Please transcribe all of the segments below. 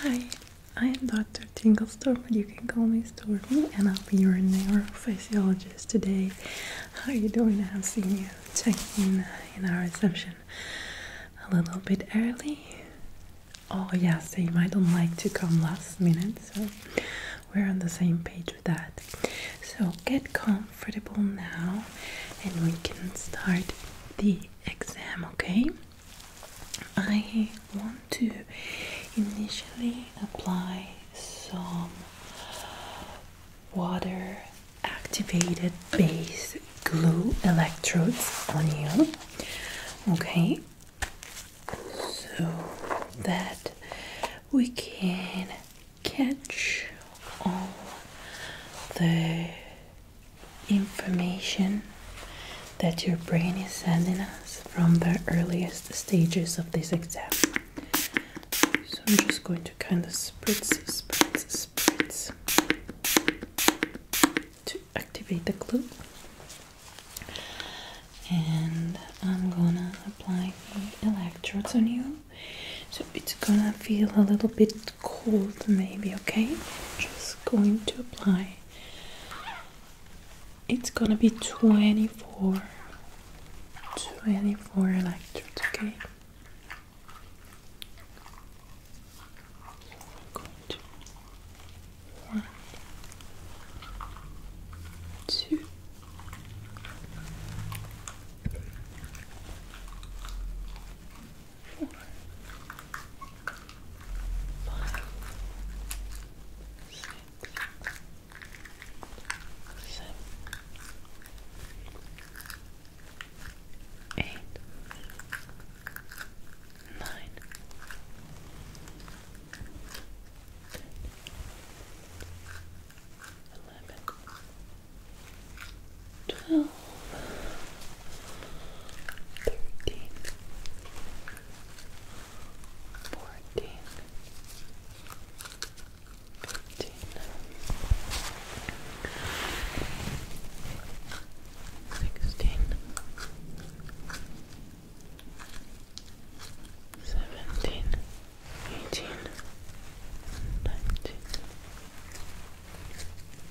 Hi, I am Dr. Tinglestorm, but you can call me Stormy, and I'll be your neurophysiologist today. How are you doing? I have seen you checking in, our reception a little bit early. Oh, yeah, so you might not like to come last minute, so we're on the same page with that. So get comfortable now, and we can start the exam, okay? I want to initially apply some water activated base glue electrodes on you. Okay, so that we can catch all the information that your brain is sending us from the earliest stages of this exam. So I'm just going to kind of spritz, spritz, spritz to activate the glue. And I'm gonna apply the electrodes on you. So it's gonna feel a little bit cold, maybe. Okay, just going to apply. It's gonna be 24, 24 electrodes. Okay, one, two four, five, six, seven, eight, nine. Eleven, twelve, thirteen, fourteen, fifteen. Sixteen, seventeen, eighteen, nineteen,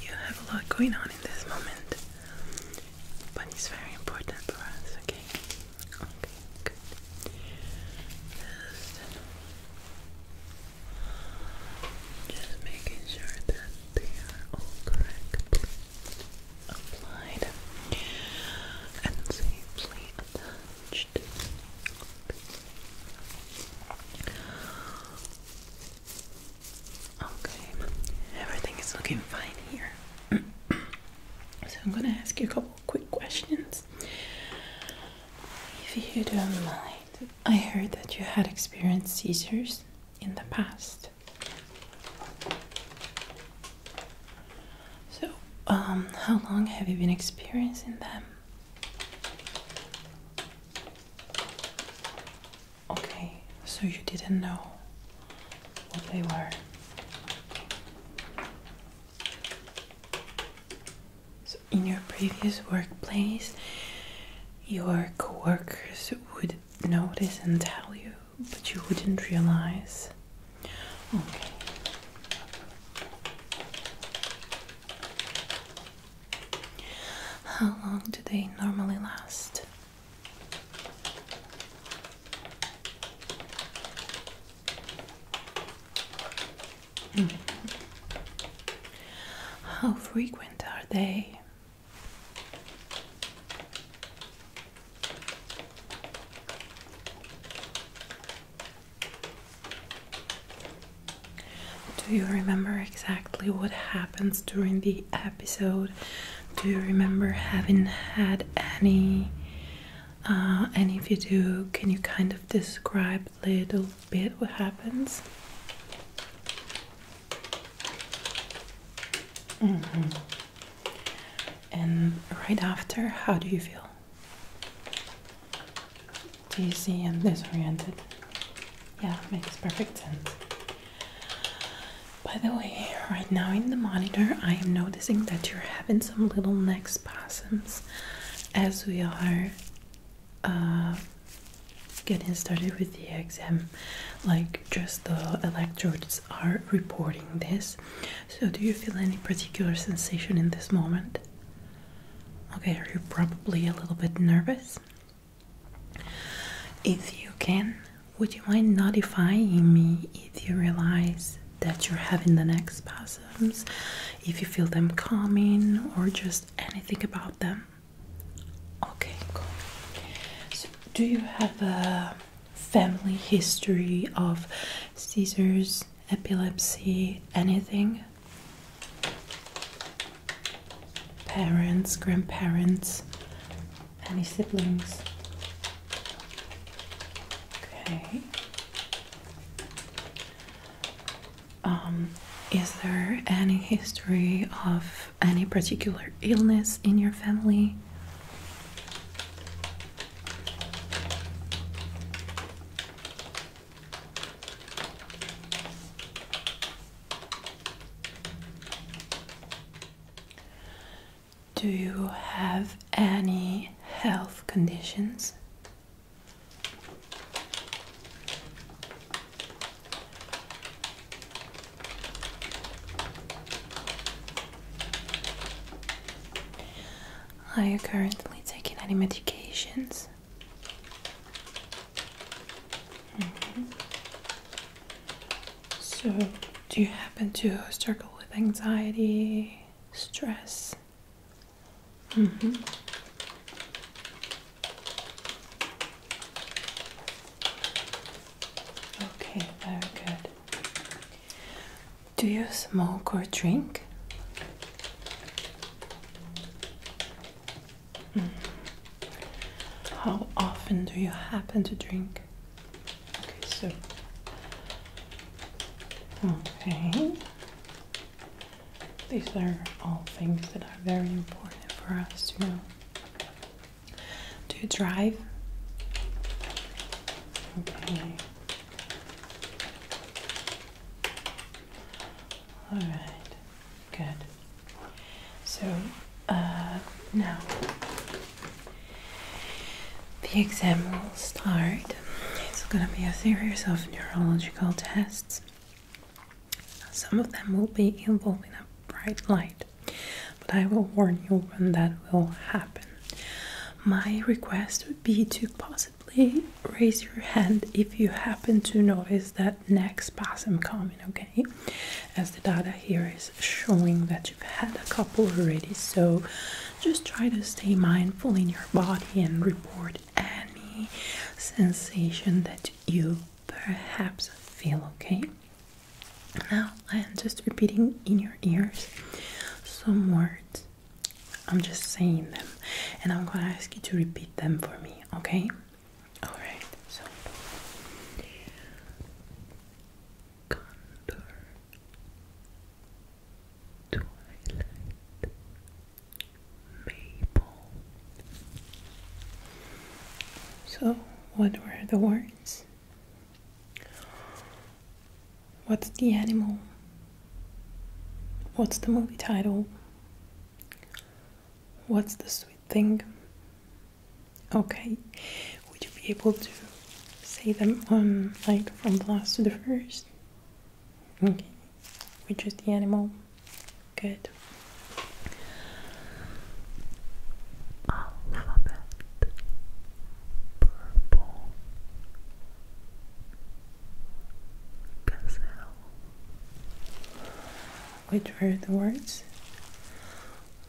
You have a lot going on in this moment, but it's very important for us, okay? Okay, good. Just, just making sure that they are all correctly applied and safely attached. Okay. Okay, everything is looking fine here. so I'm gonna ask you a couple quick questions. If you don't mind, I heard that you had experienced seizures in the past. So, um, how long have you been experiencing them? Okay, so you didn't know what they were. So in your previous workplace, your coworkers would notice and tell you, but you wouldn't realize. Okay. How long do they normally last? Hmm. How frequent are they? Do you remember exactly what happens during the episode? Do you remember having had any? Uh, and if you do, can you kind of describe a little bit what happens? Mm-hmm. And right after, how do you feel? Dizzy and disoriented. Yeah, makes perfect sense. By the way, right now in the monitor, I am noticing that you're having some little neck spasms as we are uh, getting started with the exam. Like, just the electrodes are reporting this. So, do you feel any particular sensation in this moment? Okay, are you probably a little bit nervous? If you can, would you mind notifying me if you realize that you're having the next spasms, if you feel them coming, or just anything about them? Okay, So, do you have a family history of seizures, epilepsy, anything? parents, grandparents, any siblings. Okay. Um, is there any history of any particular illness in your family? Do you have any health conditions? Are you currently taking any medications? So, do you happen to struggle with anxiety, stress? Mm-hmm. Okay, very good. Do you smoke or drink? How often do you happen to drink? Okay, so. Okay. These are all things that are very important for us to know. Do you drive? Okay. All right, good. So uh, now the exam will start. It's going to be a series of neurological tests. Some of them will be involving a bright light, but I will warn you when that will happen. My request would be to possibly raise your hand if you happen to notice that neck spasm coming, okay? as the data here is showing that you've had a couple already so just try to stay mindful in your body and report any sensation that you perhaps feel okay now i'm just repeating in your ears some words i'm just saying them and i'm going to ask you to repeat them for me okay Alright, so contour twilight maple. So what were the words? What's the animal? What's the movie title? What's the sweet thing? Okay, would you be able to say them on like from the last to the first? Okay, which is the animal? Good. Alphabet purple gazelle which are the words,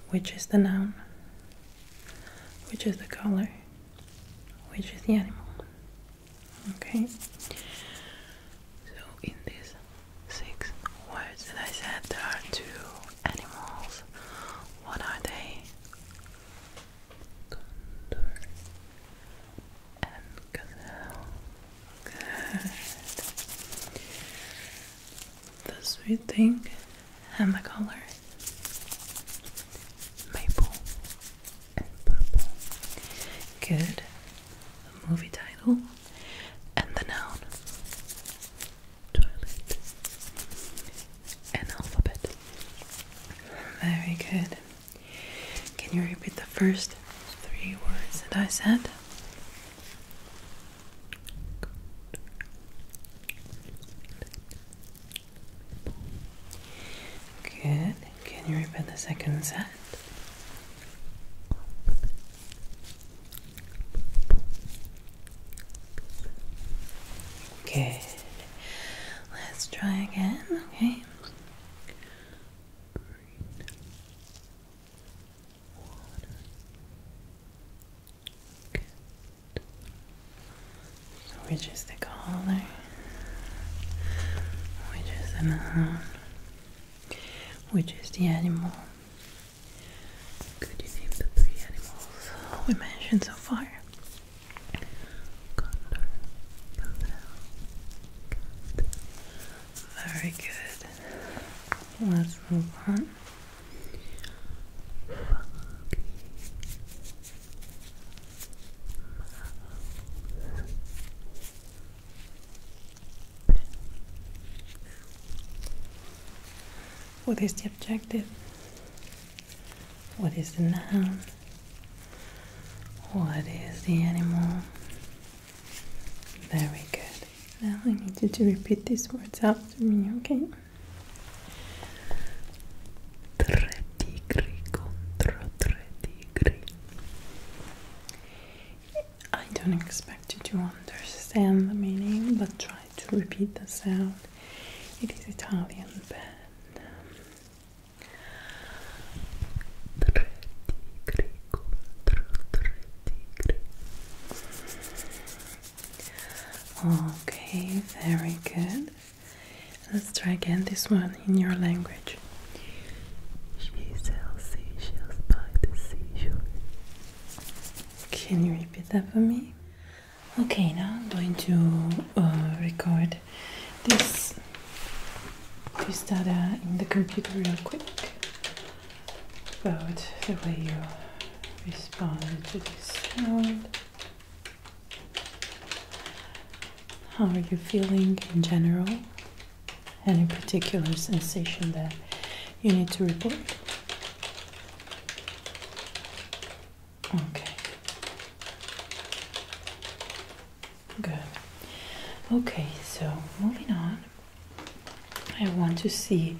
which is the noun, which is the color, which is the animal. Okay? So, in these six words that I said, there are two animals. What are they? Condor and gazelle. The sweet thing and the color maple and purple. Good. The movie title and the noun toilet and alphabet. Very good. Can you repeat the first three words that I said? Good. Can you repeat the second set? Good. Let's try again, okay? water. Good. So we Which is the man, which is the animal. Could you name the three animals we mentioned so far? Condor, buffalo, cat. Very good. What is the objective? What is the noun? What is the animal? Very good. Now I need you to repeat these words after me, okay? Tre tigri contro tre tigri. I don't expect you to understand the meaning, but try to repeat the sound. It is Italian, but. Um, tre Okay, very good. Let's try again this one in your language. She sells seashells by the seashore. Can you repeat that for me? Okay, now I'm going to uh, record this frittata in the computer real quick about the way you respond to this sound. How are you feeling in general? Any particular sensation that you need to report? Okay. Good. Okay, so moving on. I want to see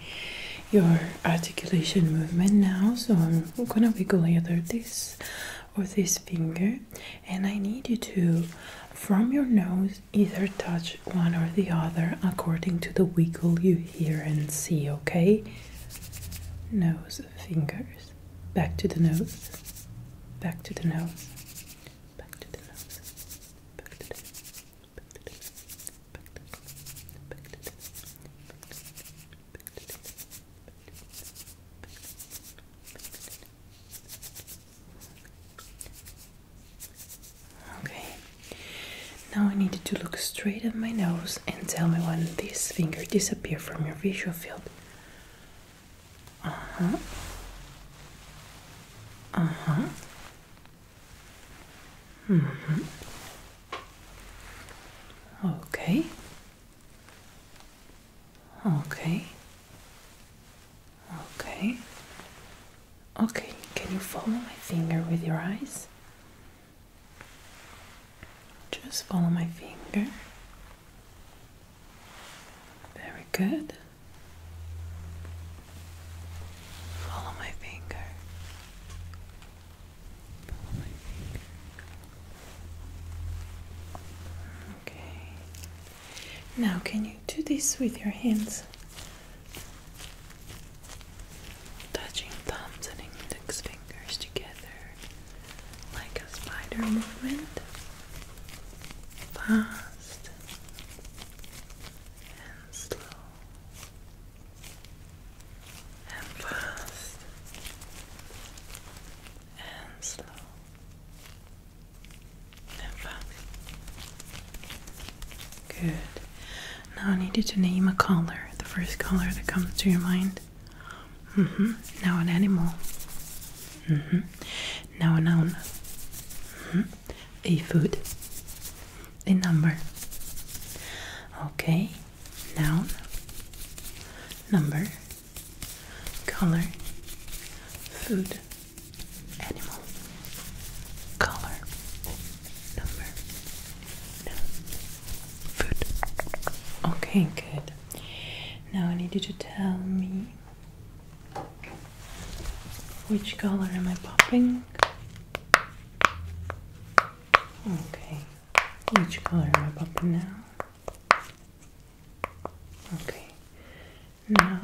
your articulation movement now, so I'm gonna wiggle either this or this finger, and I need you to, from your nose, either touch one or the other according to the wiggle you hear and see, okay? Nose, fingers, back to the nose, back to the nose, back to the nose, back to the Okay, now I need you to look straight at my nose and tell me when this finger disappears from your visual field. Uh huh. Uh huh. Mm-hmm. Okay. Okay. Okay. Okay, can you follow my finger with your eyes? Just follow my finger. Very good. Follow my finger. Follow my finger. Okay. Now, can you do this with your hands? Touching thumbs and index fingers together like a spider movement. Fast and slow and fast and slow and fast. Good. Now I need you to name a color, the first color that comes to your mind. Mm-hmm. Now an animal. Mm-hmm. Now a noun. Mm-hmm a food, a number. Okay, noun, number, color, food, animal, color, number, noun, food. Okay, good. Now I need you to tell me which color am I popping? Okay. Which color am I popping now? Okay. Now.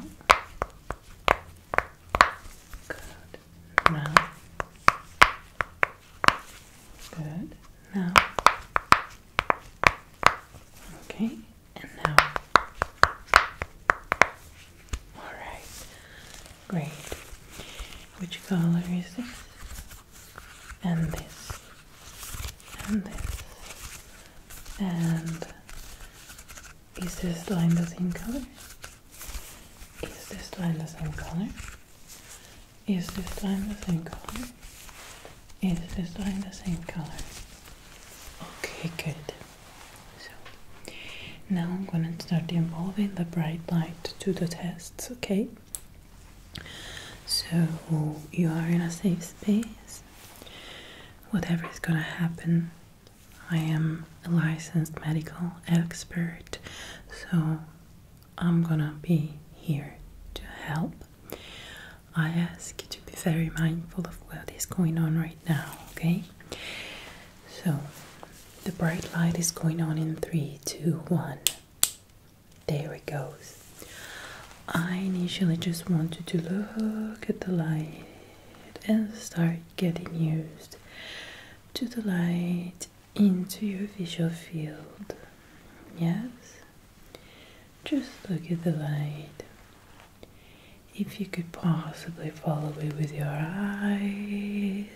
Good. Now. Good. Now. Okay and now. Alright, great. Which color is this? And this, and this, and is this line the same color? Is this line the same color? Is this line the same color? Is this line the same color? Okay, good. So now I'm gonna start involving the bright light to the tests, okay? So you are in a safe space. Whatever is gonna happen, I am a licensed medical expert, so I'm gonna be here to help. I ask you to be very mindful of what is going on right now, okay? so the bright light is going on in three, two, one. There it goes. I initially just wanted to look at the light and start getting used to the light into your visual field. Yes? Just look at the light. If you could possibly follow me with your eyes.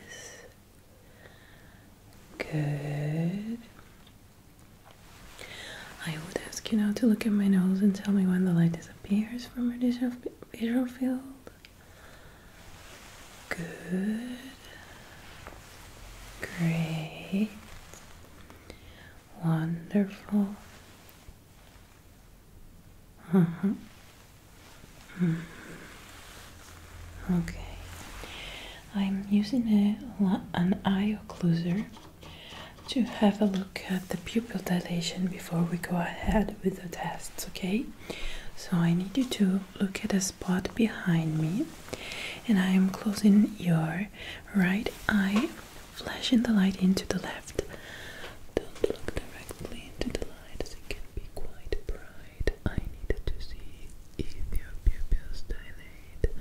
Good. I would ask you now to look at my nose and tell me when the light disappears from my visual field. Good. Great. Wonderful. Mm-hmm. Mm-hmm. Okay. I'm using a, an eye occluder to have a look at the pupil dilation before we go ahead with the tests, okay? So I need you to look at a spot behind me, and I am closing your right eye flashing the light into the left. Don't look directly into the light as it can be quite bright. I need to see if your pupils dilate.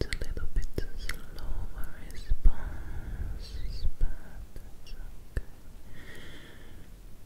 a little bit slower response,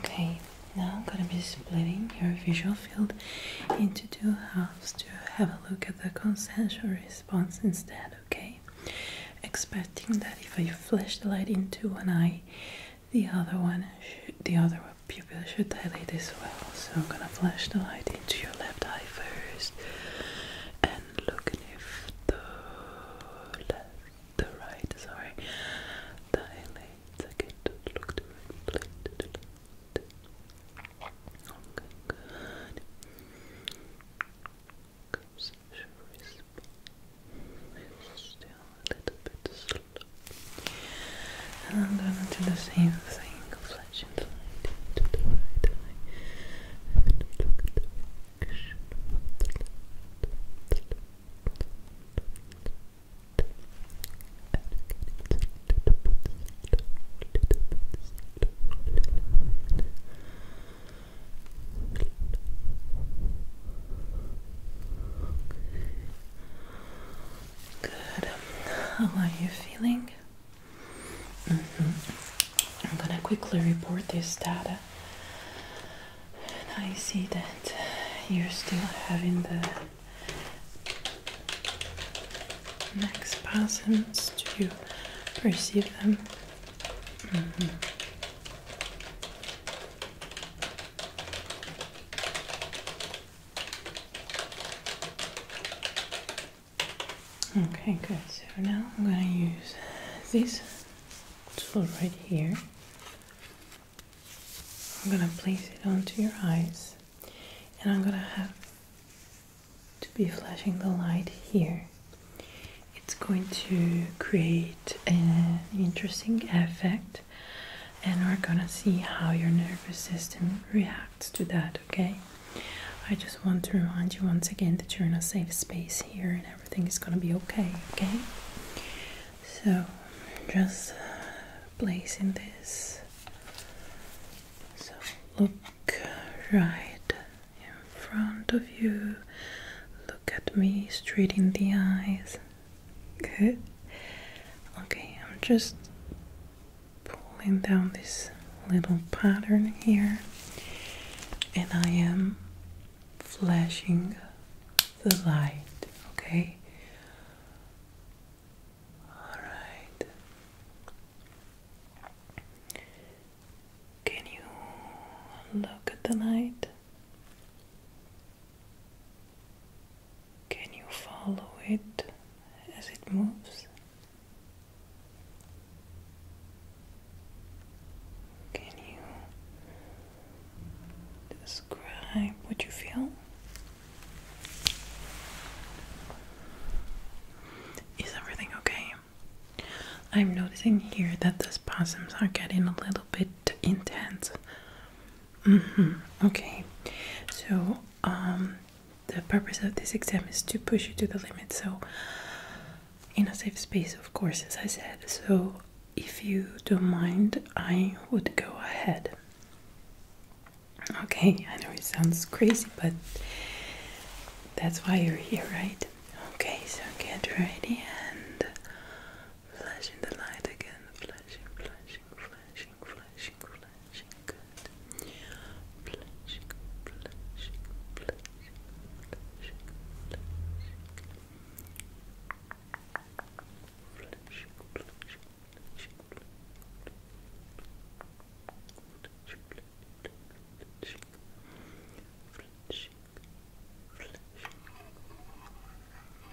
Okay, now I'm gonna be splitting your visual field into two halves to have a look at the consensual response instead, okay? Expecting that if I flash the light into one eye, the other one, the other one. Pupils should dilate as well. So I'm gonna flash the light into your left eye first and look if the the right, sorry, dilates. Okay, look to the right, to I'm gonna do the same thing, flashing the light into the right eye and look at the reaction Good. How are you feeling? Mm-hmm. I'm gonna quickly report this data. And I see that you're still having the neck spasms. Do you perceive them? Mm-hmm. Okay, good. So now I'm going to use this tool right here. I'm going to place it onto your eyes and I'm going to have to be flashing the light here. It's going to create an interesting effect and we're gonna see how your nervous system reacts to that, okay? I just want to remind you once again that you're in a safe space here and everything is gonna be okay, okay? So, just placing this. So, look right in front of you, look at me straight in the eyes. Good. Okay, I'm just pulling down this little pattern here, and I am flashing the light. Okay. All right. Can you look at the light? Can you follow it as it moves? Can you describe what you feel? Is everything okay? I'm noticing here that those possums are getting a little bit intense. Mm -hmm. Okay, so um, the purpose of this exam is to push you to the limit. So, in a safe space, of course, as I said. So, if you don't mind, I would go ahead. Okay, I know it sounds crazy, but that's why you're here, right? Okay, so get ready and flashing the light again, flashing, flashing, flashing, flashing, flashing, flashing, flashing, flashing, flashing, flashing, flashing, flashing, flashing, flashing, flashing, flashing, flashing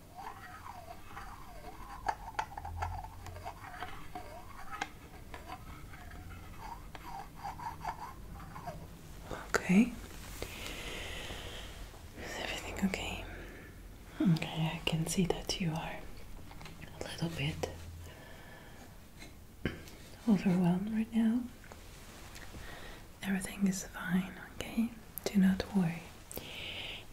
Okay. Is everything okay? Okay, I can see that you are a little bit overwhelmed right now. Everything is fine, okay? Do not worry.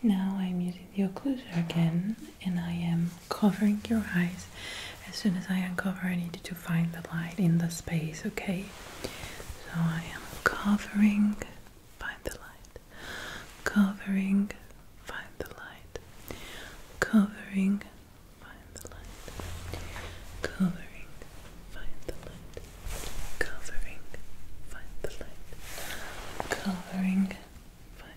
Now I'm using the occluder again and I am covering your eyes. As soon as I uncover, I need to find the light in the space, okay? So I am covering, find the light, covering, find the light, covering, find the light, covering, find the light, covering, find the light, covering, find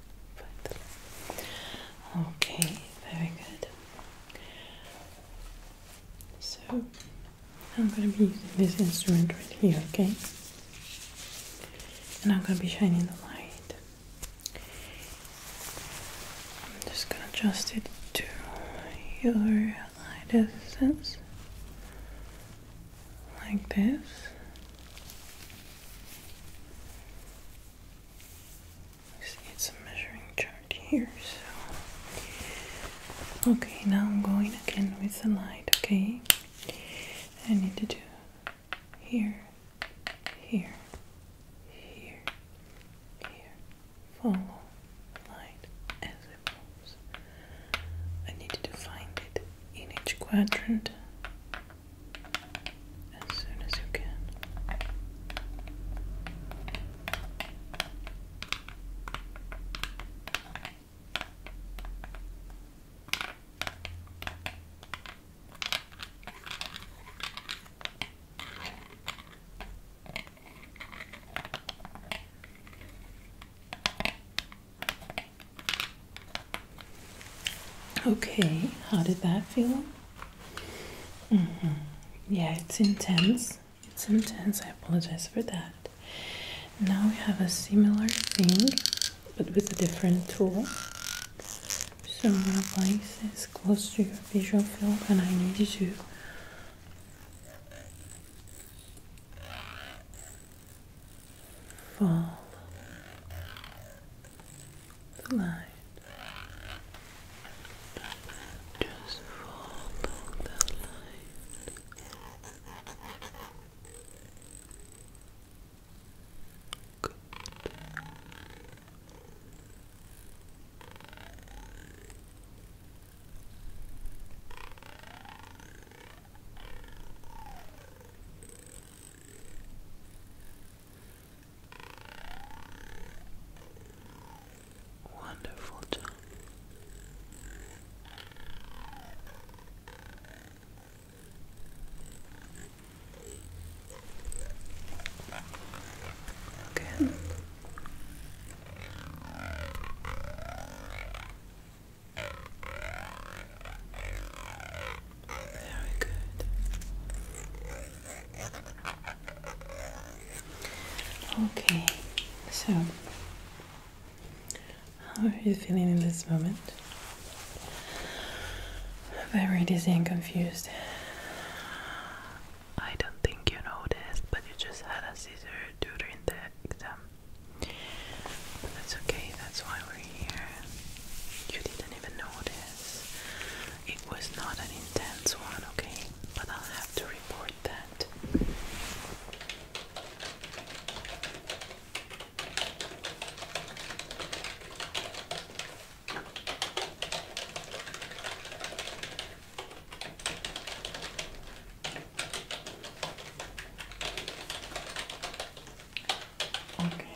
okay, very good. So, I'm going to be using this instrument right here, okay? And I'm going to be shining the light. I'm just going to adjust it to your light essence. Like this. Let's get some measuring chart here. So, okay, now I'm going again with the light. Okay, I need to do here, here, here, here. Follow light as it moves. I need to find it in each quadrant as soon as you can. Okay, how did that feel? Mm-hmm. Yeah, it's intense. It's intense. I apologize for that. Now we have a similar thing but with a different tool. So I'm gonna place this close to your visual field and I need you to fall the light. Just follow the light. Good. Wonderful job. Good. Very good. Okay, so how are you feeling in this moment? Very dizzy and confused. I don't think you noticed, but you just had a seizure during the exam. that's okay, that's why we're here. You didn't even notice. It was not an intense one, okay? But I'll have to report that. Okay.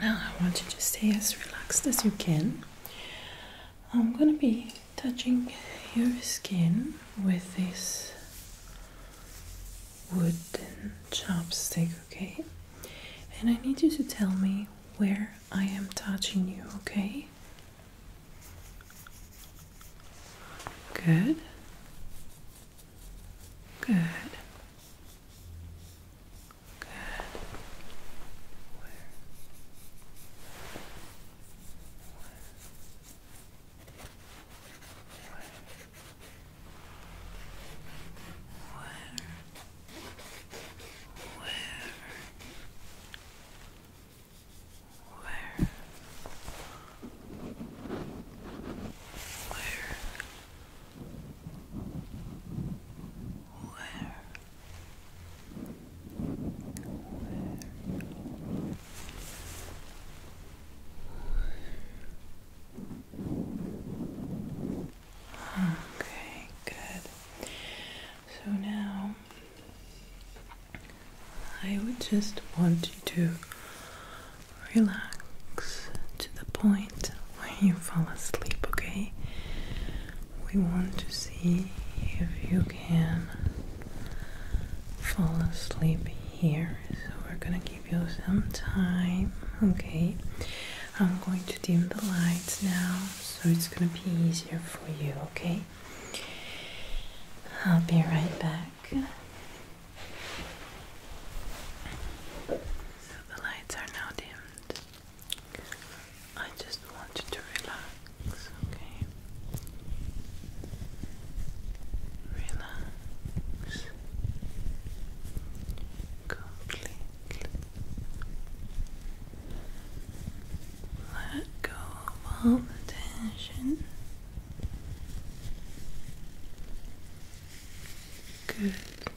Now I want you to stay as relaxed as you can. I'm gonna be touching your skin with this wooden chopstick, okay? And I need you to tell me where I am touching you, okay? Good. Good. Good. Where? Where? Where? Where? Where? Where? Where? Where? Okay, good. So now I would just want you to relax to the point where you fall asleep, okay? We want to see if you can fall asleep here. So we're gonna give you some time, okay? I'm going to dim the lights now so it's gonna be easier for you, okay? I'll be right back. So the lights are now dimmed. I just want you to relax, okay? Relax completely. Let go of all the tension. Good.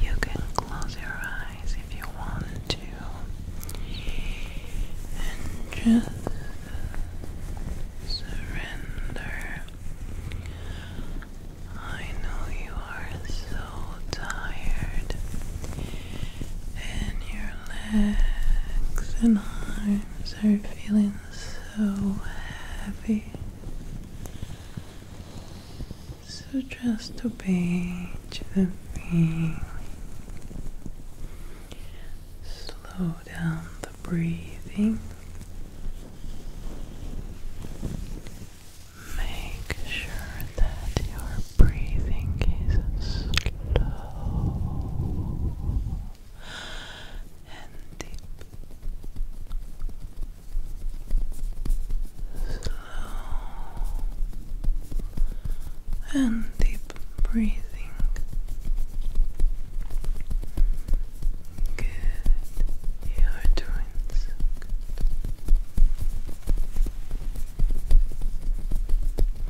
You can close your eyes if you want to and just surrender. I know you are so tired, and your legs and arms are feeling so heavy. So just obey to the feeling. Slow down the breathing. Make sure that your breathing is slow and deep slow and deep breathing. Good, you are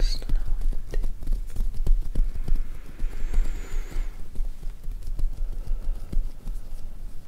Slow and deep.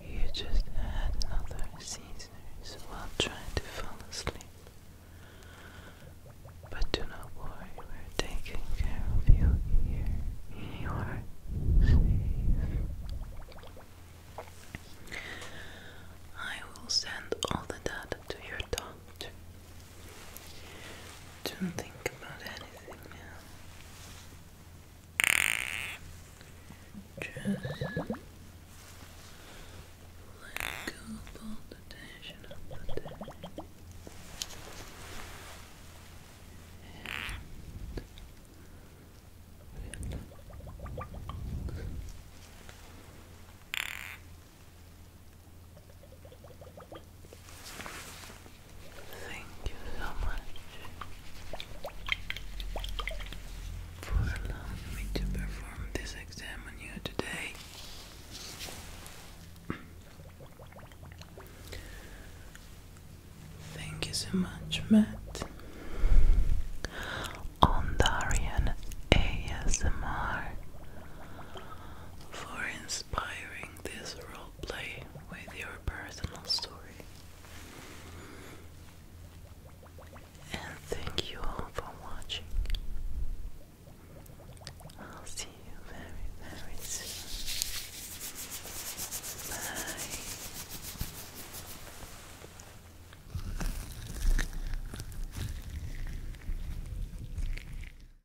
You just had another Caesar's while trying to fall asleep. But do not worry, we're taking care of you here. I will send all the data to your doctor. Don't think about anything now. Just let go of all the tension of the day. Thank you so much for allowing me to perform this exam on you today. Thank you so much, Matt. On Darian for inspiring this role play with your personal story. And thank you all for watching. I'll see you very, very soon. Bye.